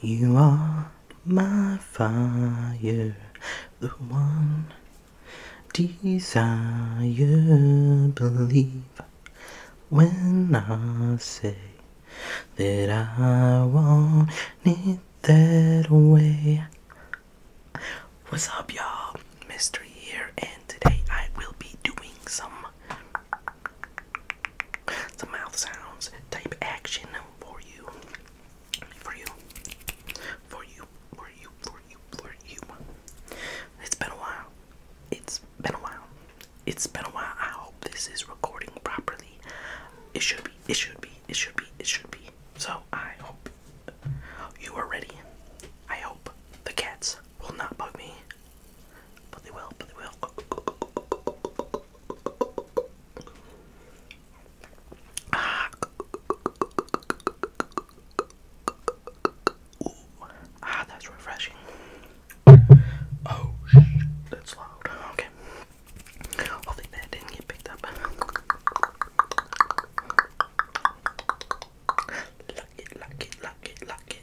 You are my fire, the one desire. Believe when I say that I want it that way. What's up, y'all? Mystery here, and today I will be doing some some mouth sounds type action for you. For you. For you. For you. For you. For you. It's been a while. It's been a while. It's been a while. I hope this is recording properly. It should be. It should be. It should be. It should be. So I hope you are ready. I hope the cats will not bug me. But they will, but they will. Ah. Ooh. Ah, that's refreshing. Oh, shh. That's loud. Okay. Hopefully that didn't get picked up. Luck it, luck it, luck it, luck it.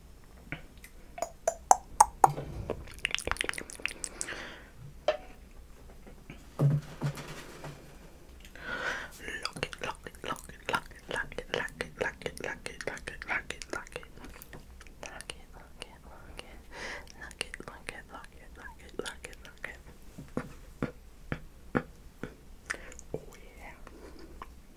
Lock it, lock it, lock it, lock it, lock it, lock it, lock it, lock it, lock it, lock it, lock it. Lock it, lock it, lock it. Lock it, lock it, lock it, lock it, lock it, lock it. Oh yeah.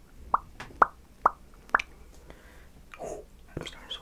Oh, I'm starting to sweat.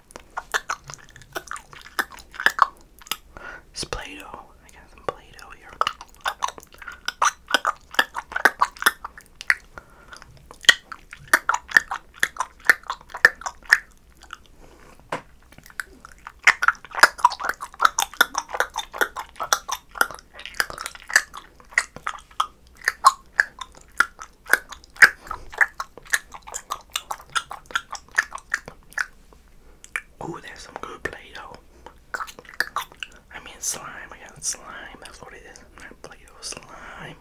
It's Play Doh. I got some Play Doh here. Ooh, that's some good Play-Doh. I mean slime, I got slime, that's what it is. Not slime.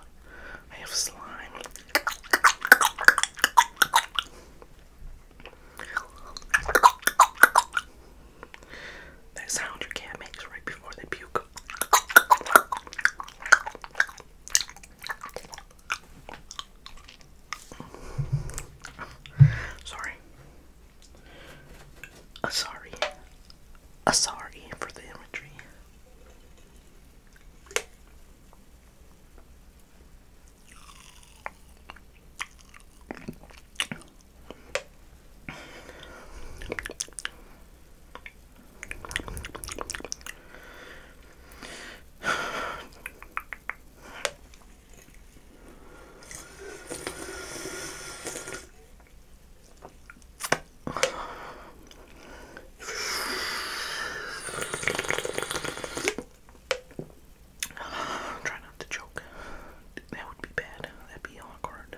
I have slime. That sound your cat makes right before they puke. Sorry. A sorry. A sorry for the imagery. Try not to choke. That would be bad. That'd be awkward.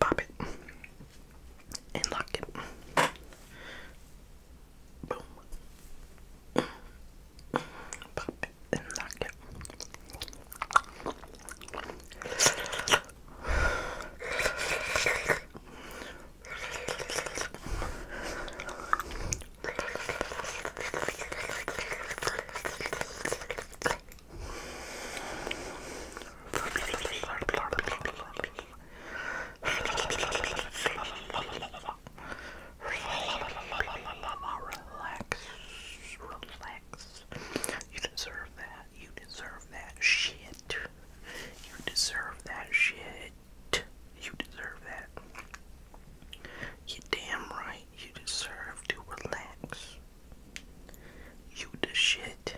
Pop it and lock it. Boom. Pop it and lock it. Relax, relax. You deserve that. You deserve that shit. You deserve that shit. You deserve that you damn right you deserve to relax. You the shit.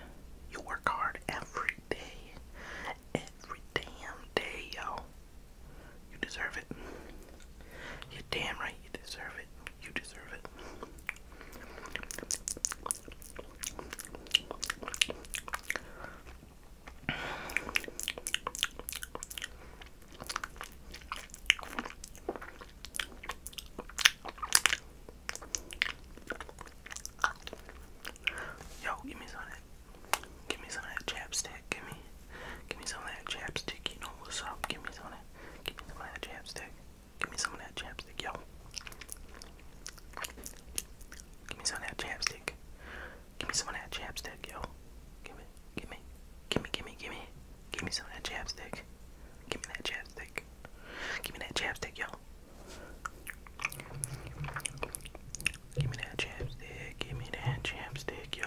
You work hard every day. Every damn day, yo. You deserve it. you damn right you deserve it. You deserve it. Yo, give me some of that. Give me some of that chapstick. Give me, give me some of that chapstick. You know what's up? Give me some of that. Give me some of that chapstick. Give me some of that chapstick, yo. Give me some of that chapstick. Give me some of that chapstick, yo. Give it gimme, gimme, gimme, gimme, gimme some of that chapstick. Gimme that chapstick. Gimme that chapstick, y'all. Gimme that chapstick, gimme that chapstick, yo.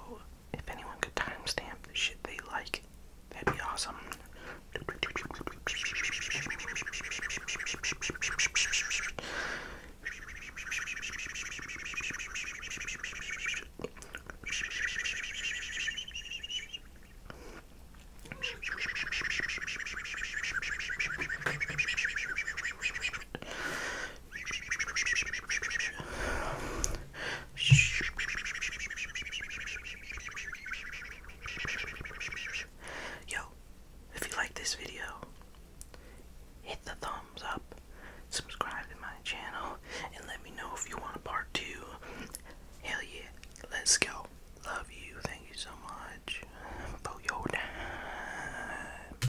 if anyone could timestamp the shit they like, that'd be awesome. Yo, if you like this video, hit the thumbs up, subscribe to my channel, and let me know if you want a part two. Hell yeah, let's go. Love you. Thank you so much for your time.